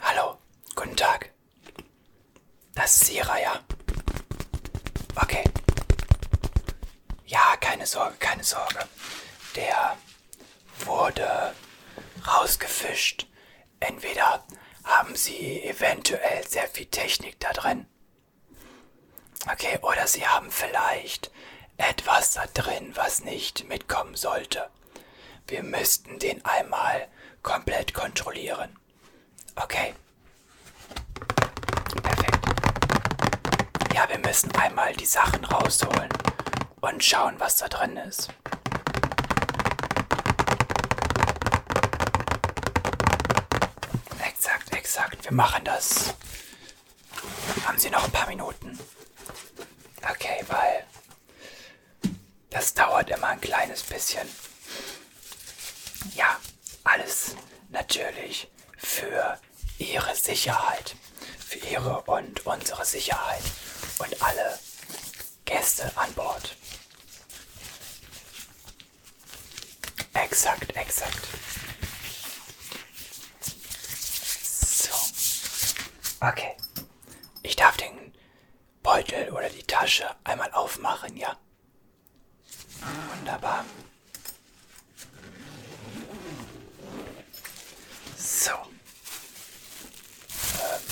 Hallo, guten Tag. Das ist Sira, ja. Okay. Ja, keine Sorge, keine Sorge. Der wurde rausgefischt. Entweder haben sie eventuell sehr viel Technik da drin. Okay, oder sie haben vielleicht ist etwas da drin, was nicht mitkommen sollte. Wir müssten den einmal komplett kontrollieren. Okay. Perfekt. Ja, wir müssen einmal die Sachen rausholen und schauen, was da drin ist. Exakt, exakt. Wir machen das. Haben Sie noch ein paar Minuten? Okay, weil das dauert immer ein kleines bisschen. Ja, alles natürlich für Ihre Sicherheit. Für Ihre und unsere Sicherheit. Und alle Gäste an Bord. Exakt, exakt. So. Okay. Ich darf den Beutel oder die Tasche einmal aufmachen, ja? Wunderbar. So. Ähm.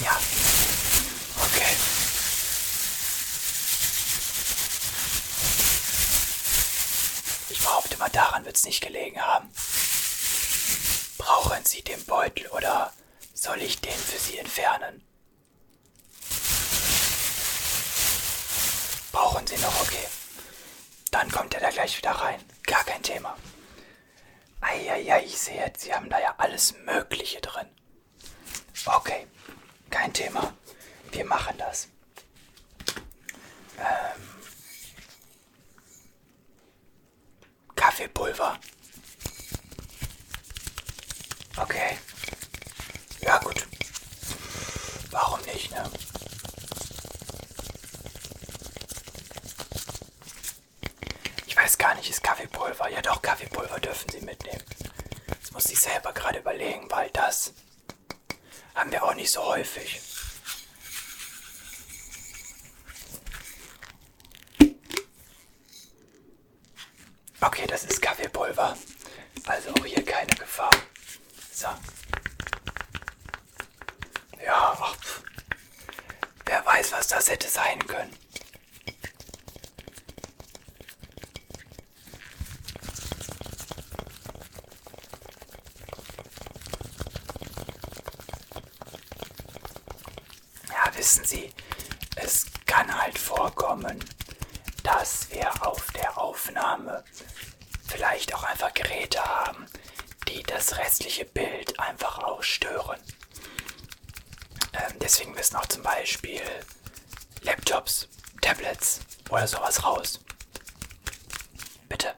Ja. Okay. Ich behaupte mal, daran wird es nicht gelegen haben haben. Brauchen Sie den Beutel oder soll ich den für Sie entfernen? Brauchen Sie noch, okay. Dann kommt er da gleich wieder rein. Gar kein Thema. Eieiei, ich sehe jetzt, Sie haben da ja alles Mögliche drin. Okay, kein Thema. Wir machen das. Ähm, Kaffeepulver. Okay. Ja gut. Warum nicht, ne? Ich weiß gar nicht, ist Kaffeepulver. Ja doch, Kaffeepulver dürfen Sie mitnehmen. Jetzt muss ich selber gerade überlegen, weil das haben wir auch nicht so häufig. Okay, das ist Kaffeepulver. Also auch hier keine Gefahr. So. Ja, ach, wer weiß, was das hätte sein können. Ja, wissen Sie, es kann halt vorkommen, dass wir auf der Aufnahme vielleicht auch einfach Geräte haben, die das restliche Bild einfach ausstören. Ähm, deswegen müssen auch zum Beispiel Laptops, Tablets oder sowas raus. Bitte.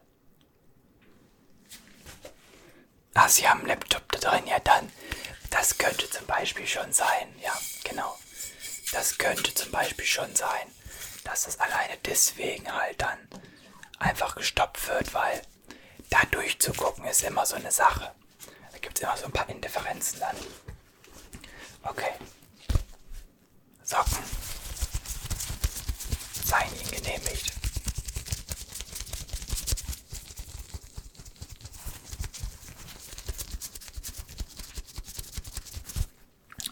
Ah, Sie haben einen Laptop da drin, ja dann. Das könnte zum Beispiel schon sein, ja, genau. Das könnte zum Beispiel schon sein, dass das alleine deswegen halt dann einfach gestoppt wird, weil da durchzugucken ist immer so eine Sache. Da gibt es immer so ein paar Indifferenzen dann. Okay. Socken seien ihm genehmigt.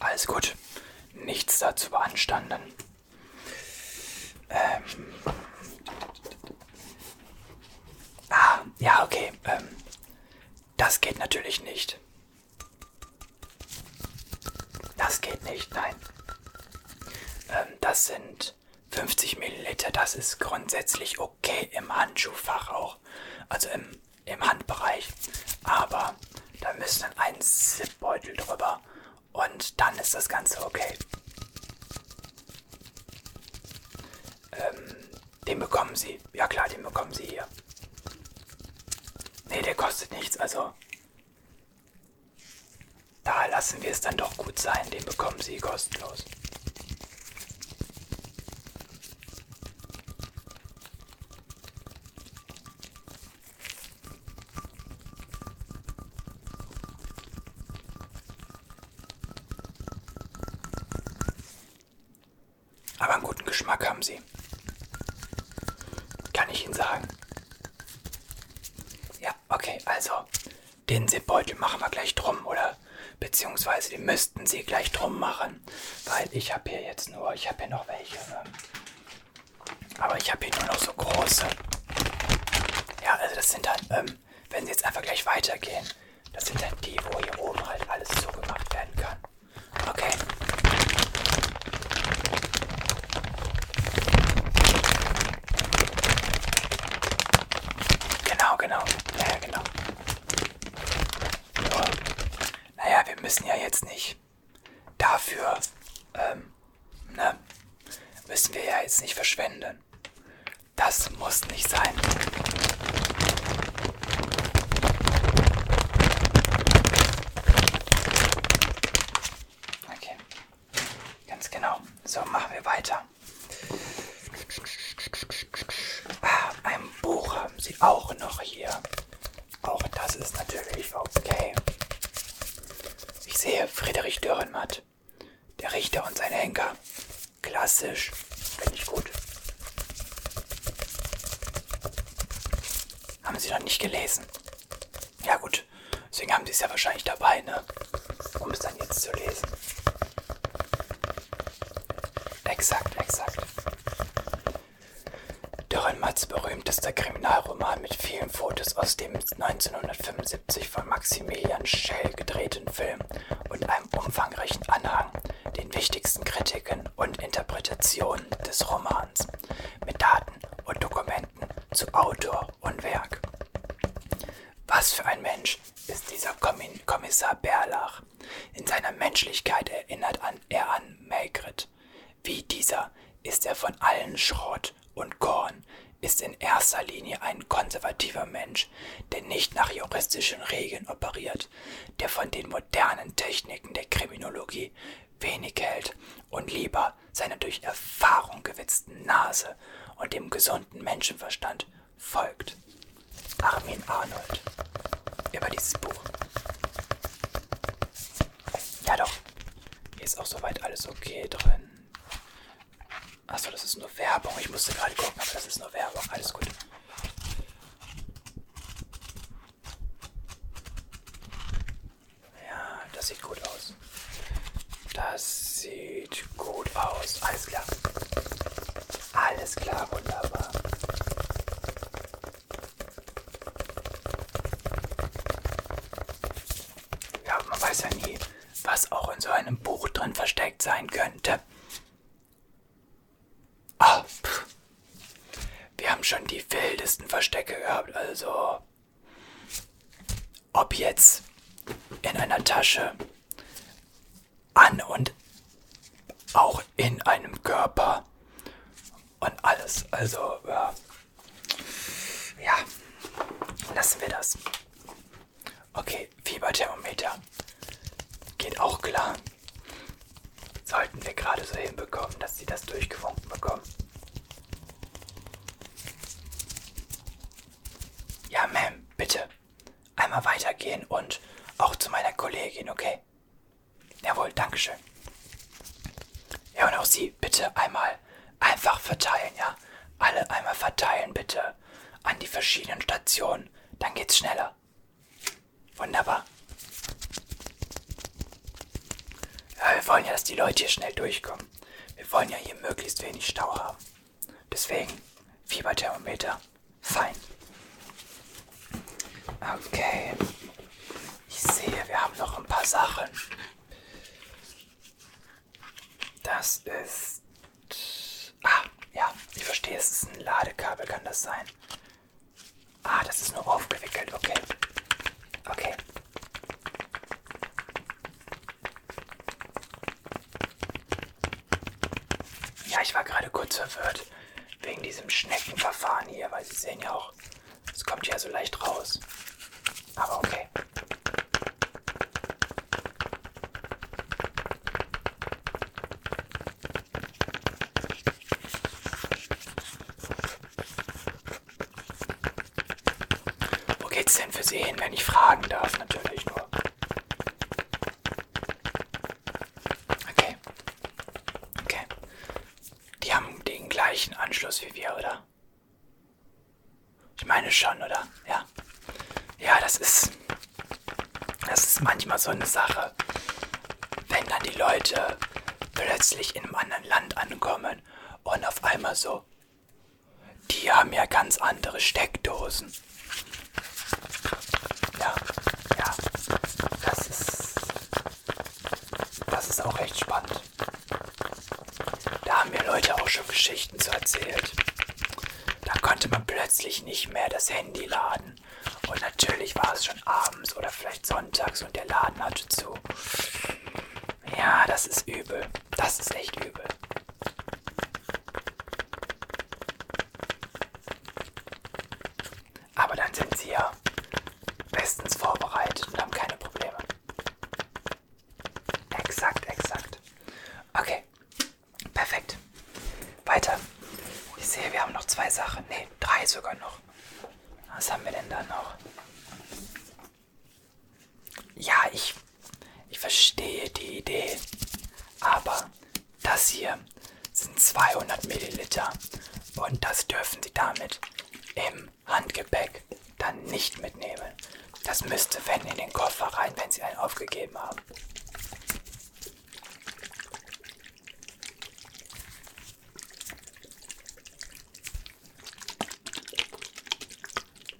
Alles gut, nichts dazu beanstanden. Ähm. Ah, ja, okay. Ähm. Das geht natürlich nicht. Das geht nicht, nein. Ähm, das sind 50 Milliliter, das ist grundsätzlich okay im Handschuhfach auch. Also im, im Handbereich. Aber da müssen dann ein Zipbeutel drüber. Und dann ist das Ganze okay. Ähm, den bekommen sie. Ja klar, den bekommen sie hier. Ne, der kostet nichts, also da lassen wir es dann doch gut sein, den bekommen Sie kostenlos. Aber einen guten Geschmack haben Sie. Kann ich Ihnen sagen. Ja, okay, also den Zipbeutel machen wir gleich drum, oder? Beziehungsweise den müssten sie gleich drum machen, weil ich habe hier jetzt nur, ich habe hier noch welche. Ne? Aber ich habe hier nur noch so große. Ja, also das sind dann, ähm, wenn sie jetzt einfach gleich weitergehen, das sind dann die, wo hier oben halt alles so gemacht werden kann. Okay. Genau, genau. Ja, genau. Ja. Naja, wir müssen ja jetzt nicht dafür, ähm, ne, müssen wir ja jetzt nicht verschwenden. Das muss nicht sein. Okay. Ganz genau. So, machen wir weiter. Ah, ein Buch haben sie auch noch hier. Auch das ist natürlich okay. Ich sehe Friedrich Dürrenmatt. Der Richter und sein Henker. Klassisch. Finde ich gut. Haben Sie noch nicht gelesen? Ja gut, gut. Deswegen haben sie es ja wahrscheinlich dabei, ne? Um es dann jetzt zu lesen. Exakt, exakt. Dürren Matz berühmtester Kriminalroman mit vielen Fotos aus dem 1975 von Maximilian Schell gedrehten Film und einem umfangreichen Anhang, den wichtigsten Kritiken und Interpretationen des Romans, mit Daten und Dokumenten Argumenten zu Autor und Werk. Was für ein Mensch ist dieser Kommissar Berlach. In seiner Menschlichkeit erinnert an, er an Maigret. Wie dieser ist er von allen Schrott und Korn, ist in erster Linie ein konservativer Mensch, der nicht nach juristischen Regeln operiert, der von den modernen Techniken der Kriminologie wenig hält und lieber seiner durch Erfahrung gewitzten Nase und dem gesunden Menschenverstand folgt. Armin Arnold über dieses Buch. Ja doch, hier ist auch soweit alles okay drin. Achso, das ist nur Werbung. Ich musste gerade gucken, aber das ist nur Werbung. Alles gut. Ja, das sieht gut aus. Das sieht gut aus. Alles klar. Alles klar, wunderbar. Ja, man weiß ja nie, was auch in so einem Buch drin versteckt sein könnte. Oh, wir haben schon die wildesten Verstecke gehabt, also ob jetzt in einer Tasche, an und auch in einem Körper und alles. Also, ja, ja lassen wir das. Okay, Fieberthermometer. Geht auch klar. Sollten wir gerade so hinbekommen, dass sie das durchgewunken bekommen. Ja, Ma'am, bitte. Einmal weitergehen und auch zu meiner Kollegin, okay? Jawohl, Dankeschön. Ja, und auch Sie bitte einmal einfach verteilen, ja? Alle einmal verteilen, bitte. An die verschiedenen Stationen. Dann geht's schneller. Wunderbar. Ja, wir wollen ja, dass die Leute hier schnell durchkommen. Wir wollen ja hier möglichst wenig Stau haben. Deswegen Fieberthermometer. Fein. Okay. Ich sehe, wir haben noch ein paar Sachen. Das ist. Ah, ja, ich verstehe, es ist ein Ladekabel, kann das sein? Ah, das ist nur aufgewickelt, okay. Okay. Ja, ich war gerade kurz verwirrt wegen diesem Schneckenverfahren hier, weil Sie sehen ja auch, es kommt ja so leicht raus. Aber okay. Wo geht's denn für Sie hin, wenn ich fragen darf? Natürlich nur. Okay. Okay. Die haben den gleichen Anschluss wie wir, oder? Ich meine schon, oder? Ja. Ja, das ist. Das ist manchmal so eine Sache. Wenn dann die Leute plötzlich in einem anderen Land ankommen und auf einmal so, die haben ja ganz andere Steckdosen. Ja, ja, das ist, das ist auch echt spannend. Da haben mir Leute auch schon Geschichten zu erzählt. Da konnte man plötzlich nicht mehr das Handy laden. Und natürlich war es schon abends oder vielleicht sonntags und der Laden hatte zu. Ja, das ist übel. Das ist echt übel. Aber dann sind sie ja bestens vorbereitet und haben keine Probleme. Exakt, exakt. Okay, perfekt. Weiter. Ich sehe, wir haben noch zwei Sachen. Ne, drei sogar noch. Was haben wir denn da noch? Ja, ich, ich verstehe die Idee, aber das hier sind 200 Milliliter und das dürfen Sie damit im Handgepäck dann nicht mitnehmen. Das müsste, wenn, in den Koffer rein, wenn Sie einen aufgegeben haben.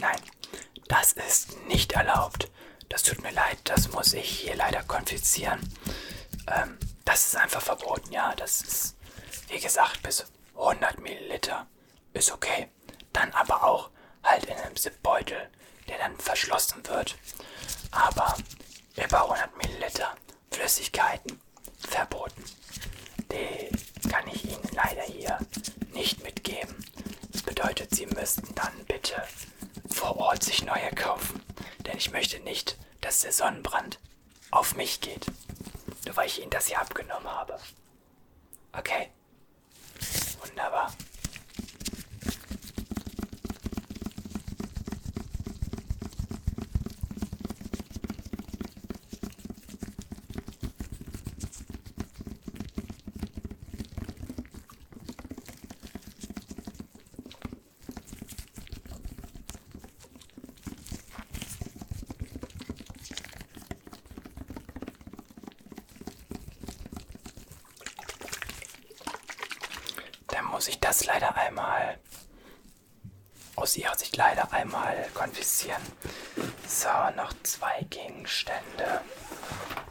Nein, das ist nicht erlaubt. Das tut mir leid, das muss ich hier leider konfiszieren. Ähm, das ist einfach verboten, ja. Das ist, wie gesagt, bis 100 Milliliter ist okay. Dann aber auch halt in einem Zipbeutel, der dann verschlossen wird. Aber über 100 Milliliter Flüssigkeiten verboten. Den kann ich Ihnen leider hier nicht mitgeben. Das bedeutet, Sie müssten dann bitte vor Ort sich neue kaufen. Denn ich möchte nicht, dass der Sonnenbrand auf mich geht. Nur weil ich Ihnen das hier abgenommen habe. Okay. Wunderbar. Dann muss ich das leider einmal aus oh, ihr hat sich leider einmal konfiszieren. So, noch zwei Gegenstände.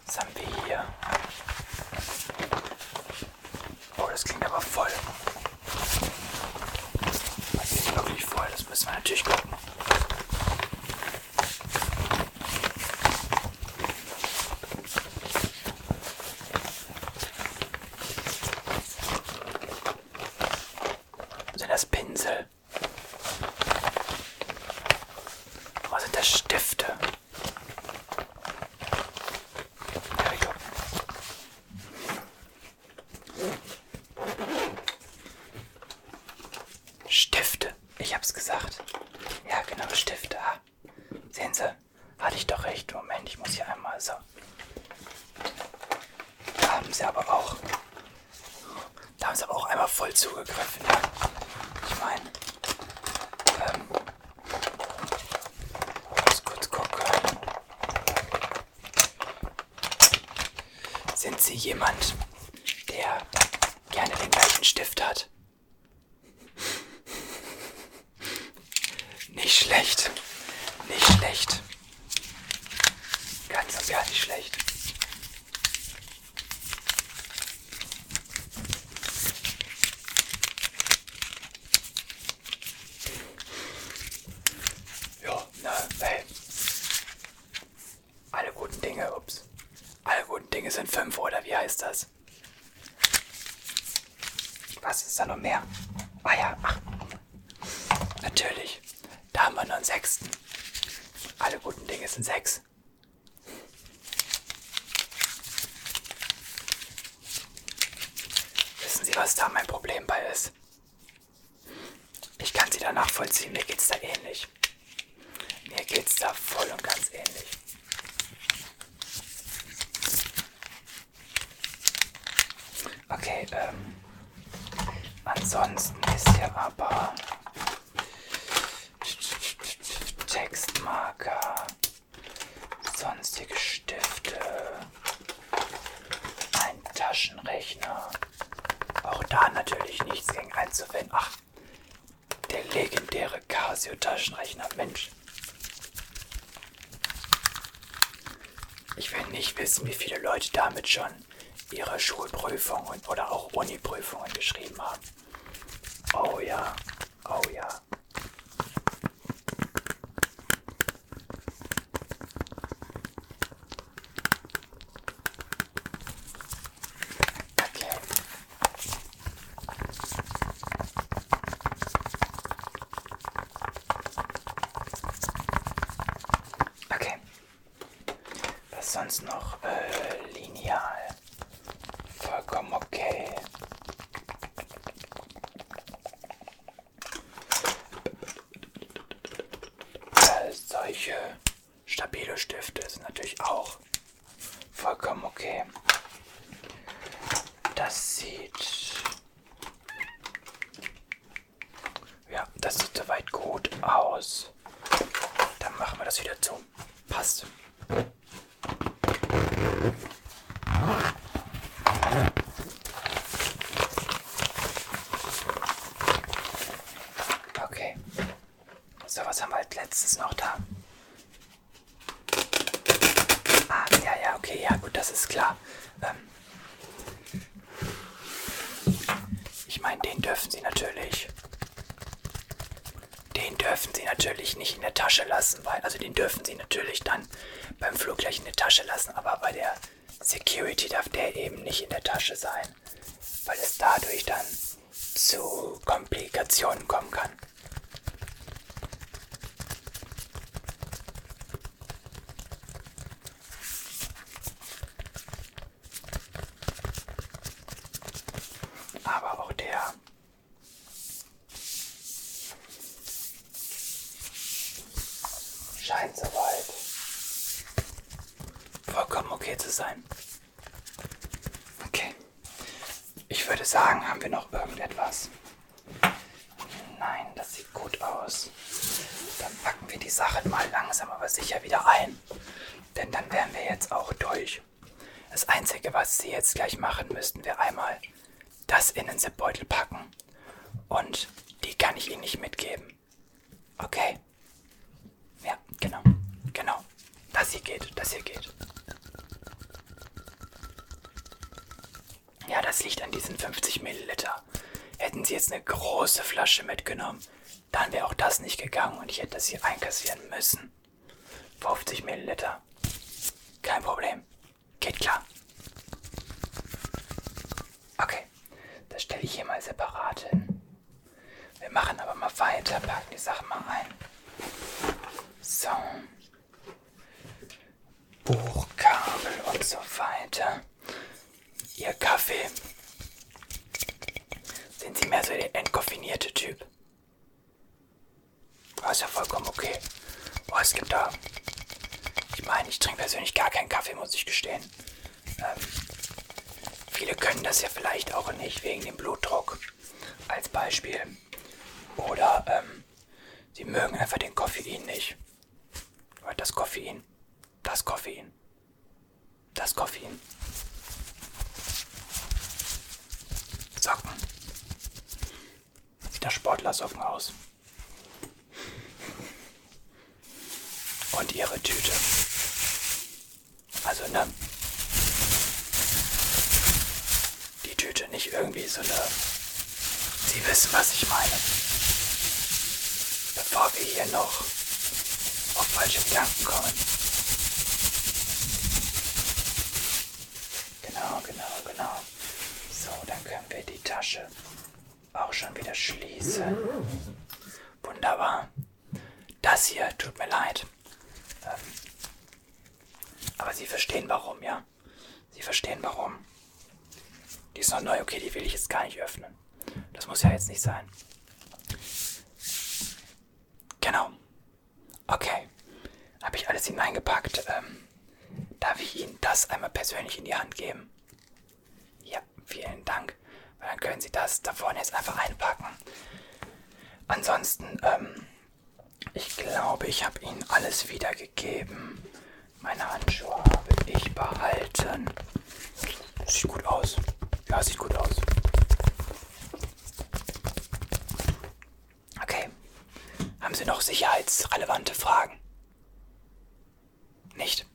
Was haben wir hier? Oh, das klingt aber voll. Das ist wirklich voll. Das müssen wir natürlich gucken. Sind das Pinsel? Was sind das Stifte? There we go. Stifte. Ich hab's gesagt. Ja, genau, Stifte. Ah. Sehen Sie, hatte ich doch recht. Moment, ich muss hier einmal so. Haben Sie aber auch da haben sie aber auch einmal voll zugegriffen. Ja. Ich meine, ähm, muss kurz gucken. Sind Sie jemand, der gerne den gleichen Stift hat? Nicht schlecht. Nicht schlecht. Ganz und gar nicht schlecht. Ja, ne, hey. Alle guten Dinge, ups. Alle guten Dinge sind fünf, oder wie heißt das? Was ist da noch mehr? Ah ja, ach, Natürlich. Da haben wir noch einen sechsten. Alle guten Dinge sind sechs. Wissen Sie, was da mein Problem bei ist? Ich kann Sie da nachvollziehen, mir geht's da ähnlich. Mir geht's da voll und ganz ähnlich. Okay, ähm, Ansonsten ist hier aber Textmarker, sonstige Stifte, ein Taschenrechner. Auch da natürlich nichts gegen einzuwenden. Ach, der legendäre Casio-Taschenrechner, Mensch. Ich will nicht wissen, wie viele Leute damit schon ihre Schulprüfungen oder auch Uniprüfungen geschrieben haben. Oh ja, oh ja. Okay. Okay, was sonst noch? Äh, lineal. Vollkommen okay. Äh, solche stabile Stifte sind natürlich auch vollkommen okay. Das sieht ja, das sieht soweit gut aus. Dann machen wir das wieder zu. Passt. Okay. So, was haben wir als letztes noch da? Ah, ja, ja, okay, ja, gut, das ist klar. Ähm, ich meine, den dürfen sie natürlich. Den dürfen sie natürlich nicht in der Tasche lassen, weil, also den dürfen sie natürlich dann beim Flug gleich in der Tasche lassen, aber bei der Security darf der eben nicht in der Tasche sein, weil es dadurch dann zu Komplikationen kommen kann. Aber auch der scheint soweit vollkommen okay zu sein. Okay. Ich würde sagen, haben wir noch irgendetwas? Nein, das sieht gut aus aus. Dann packen wir die Sachen mal langsam aber sicher wieder ein. Denn dann wären wir jetzt auch durch. Das Einzige, was Sie jetzt gleich machen, müssten wir einmal das in den Zipbeutel packen. Und die kann ich Ihnen nicht mitgeben. Okay. Ja, genau. Genau. Das hier geht. Das hier geht. Ja, das liegt an diesen 50 Milliliter. Hätten Sie jetzt eine große Flasche mitgenommen, dann wäre auch das nicht gegangen und ich hätte das hier einkassieren müssen. 50 Milliliter. Kein Problem. Geht klar. Okay, das stelle ich hier mal separat hin. Wir machen aber mal weiter, packen die Sachen mal ein. So. Bohrkabel und so weiter. Ihr Kaffee. Sind Sie mehr so der entkoffinierte Typ? Oh, ist ja vollkommen okay. Oh, es gibt da. Ich meine, ich trinke persönlich gar keinen Kaffee, muss ich gestehen. Ähm, viele können das ja vielleicht auch nicht wegen dem Blutdruck. Als Beispiel. Oder ähm, sie mögen einfach den Koffein nicht. Oder das Koffein. Das Koffein das Koffein. Socken. Sieht nach Sportlersocken aus. Und ihre Tüte. Also, ne? Die Tüte, nicht irgendwie so eine. Sie wissen, was ich meine. Bevor wir hier noch auf falsche Gedanken kommen. Genau, genau, genau. So, dann können wir die Tasche auch schon wieder schließen. Wunderbar. Das hier tut mir leid. Ähm, aber Sie verstehen warum, ja? Sie verstehen warum. Die ist noch neu, okay, die will ich jetzt gar nicht öffnen. Das muss ja jetzt nicht sein. Genau. Okay. Habe ich alles hineingepackt. Ähm, darf ich Ihnen das einmal persönlich in die Hand geben? Ja, vielen Dank. Weil dann können Sie das da vorne jetzt einfach einpacken. Ansonsten, ähm, ich glaube, ich habe Ihnen alles wiedergegeben. Meine Handschuhe habe ich behalten. Sieht gut aus. Ja, sieht gut aus. Okay. Haben Sie noch sicherheitsrelevante Fragen? Nicht?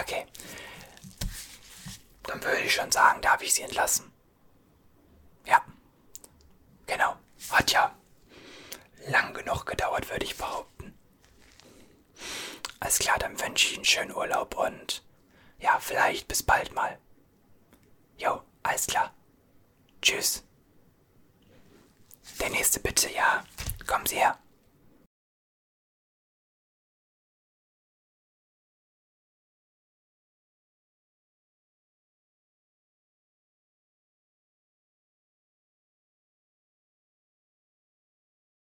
Okay. Dann würde ich schon sagen, darf ich Sie entlassen. Ja. Genau. Hat ja lang genug gedauert, würde ich behaupten. Alles klar, dann wünsche ich Ihnen einen schönen Urlaub und ja, vielleicht bis bald mal. Jo, alles klar. Tschüss. Der nächste bitte, ja. Kommen Sie her.